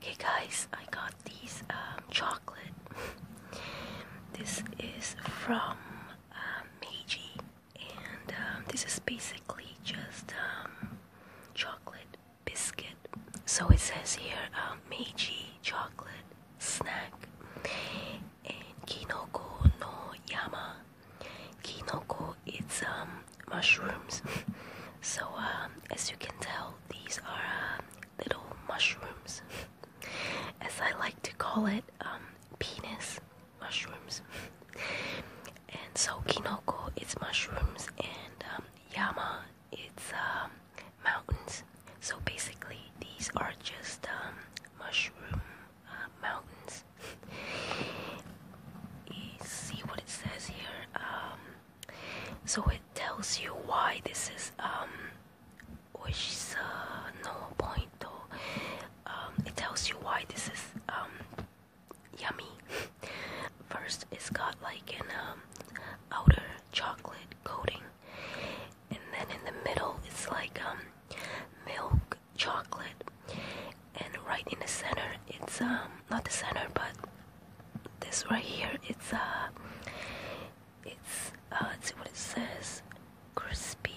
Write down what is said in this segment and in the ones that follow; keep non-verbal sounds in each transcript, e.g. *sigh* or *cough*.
Okay, guys, I got these um, chocolate. *laughs* this is from um, Meiji, and um, this is basically just chocolate biscuit. So it says here Meiji chocolate snack and Kinoko no Yama. Kinoko, it's um mushrooms. *laughs* so, uh, as you can tell, these are uh, little mushrooms, *laughs* as I like to call it, um, penis mushrooms. *laughs* and so, kinoko it's mushrooms, and um, yama it's um, mountains. So basically, these are just mushroom uh, mountains. see what it says here. So it tells you why this is um which is uh, no point though. Um, it tells you why this is um yummy. First, it's got like an um, outer chocolate coating, and then in the middle it's like um milk chocolate, and right in the center it's um not the center but this right here it's a, uh, it's uh, let's see what it says crispy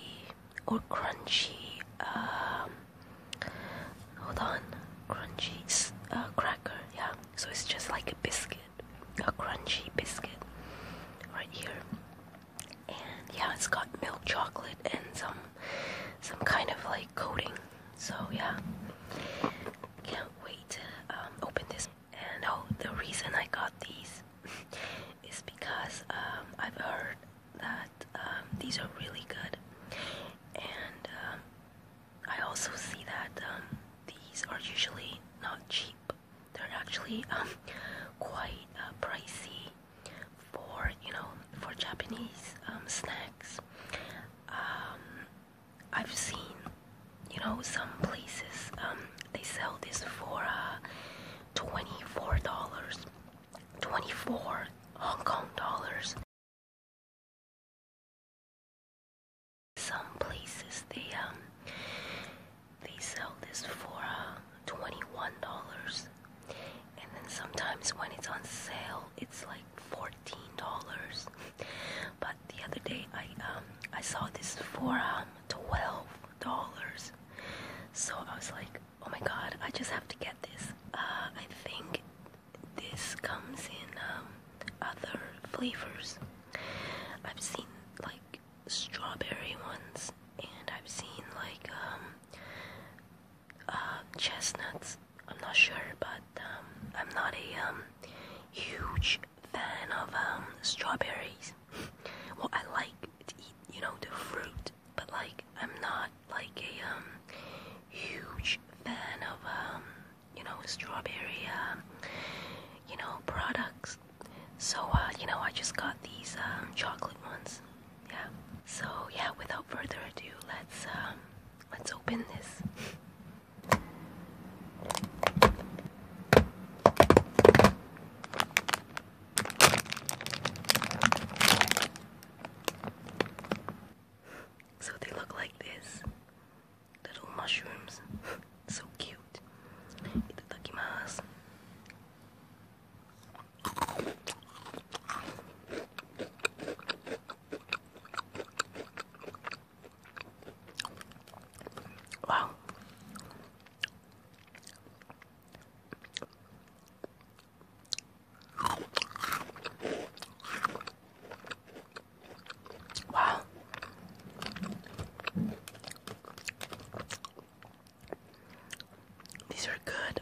or crunchy um, hold on crunchy uh, cracker yeah so it's just like a biscuit a crunchy biscuit right here and yeah it's got milk chocolate and some some kind of like coating so yeah can't wait to um, open this. And oh, the reason I got these *laughs* is because um, I've heard that um, these are really good, and I also see that these are usually not cheap. They're actually *laughs* quite uh, pricey for you know for Japanese snacks. I've seen, you know, some places um, they sell this for uh, twenty-four dollars, twenty-four Hong Kong dollars. Some places they um, they sell this for uh, twenty-one dollars, and then sometimes when it's on sale, it's like. $14 but the other day I um I saw this for um $12 so I was like oh my god I just have to get this uh, I think this comes in um, other flavors I've seen like strawberry ones and I've seen like um uh, chestnuts. I'm not sure, but um, I'm not a um, huge fan of um, strawberries. *laughs* well, I like to eat, you know, the fruit, but like I'm not like a um, huge fan of um, you know strawberry, um, you know, products. So uh, you know, I just got these um, chocolate ones. Yeah. So yeah, without further ado, let's um, Let's open this. So they look like this little mushrooms. so cute. Itadakimasu. Wow. Wow. These are good.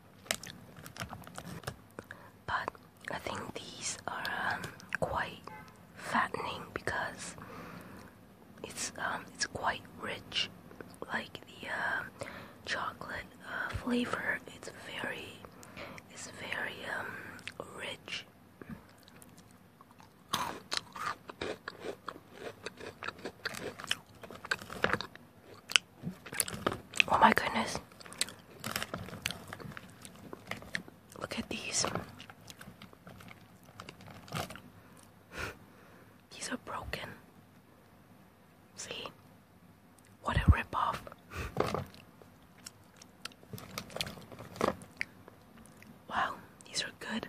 But I think these are um, quite fattening because it's um it's quite rich, like the um, chocolate uh, flavor. It's very it's very um rich. Oh my goodness. Look at these. these are broken. See? What a ripoff. wow, these are good.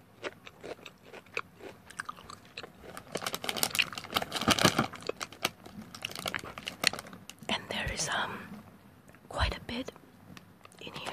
And there is um quite a bit in here.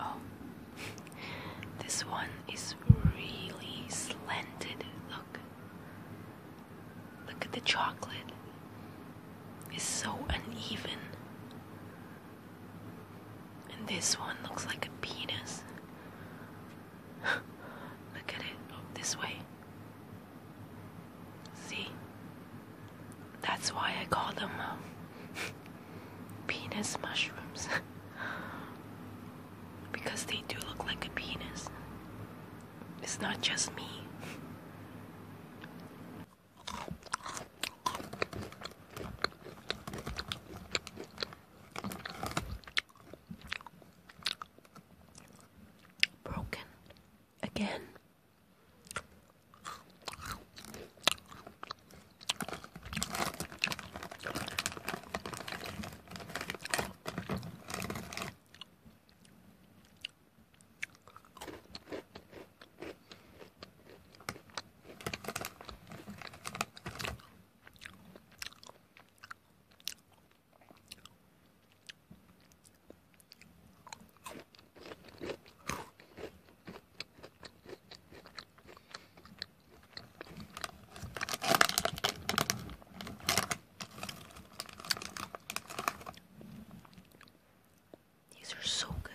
Oh, *laughs* this one is really slanted. Look, look at the chocolate. It's so uneven. And this one looks like a penis. *laughs* Look at it this way. See? That's why I call them uh, *laughs* penis mushrooms. *laughs* because they do look like a penis. It's not just me broken again. These are so good.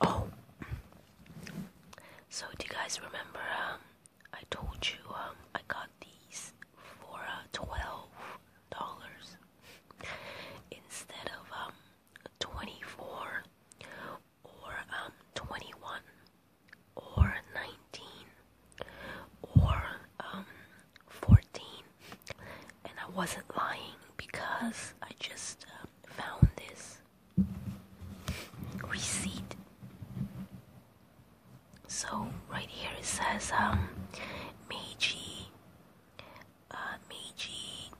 Oh, so do you guys remember? Um, I told you um, I got these for uh, twelve dollars instead of um twenty-four or um twenty-one or nineteen or um fourteen, and I wasn't lying because I just uh, found this receipt. So right here it says um Meiji uh,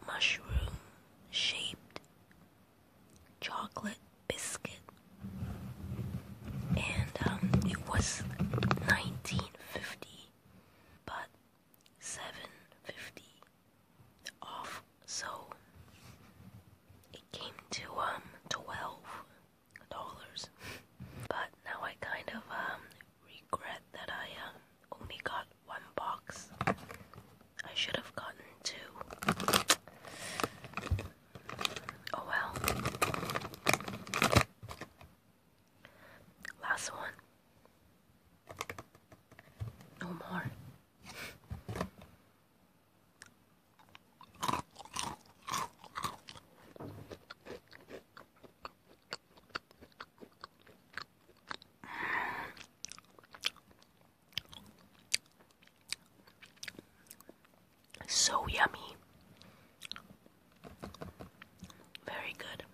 mushroom shaped chocolate biscuit and um, it was 1950 but 750 off, so it came to um twelve dollars. But now I kind of um regret that I um only got one box. I should have gotten two. Oh well. Last one. No more. So yummy. Very good.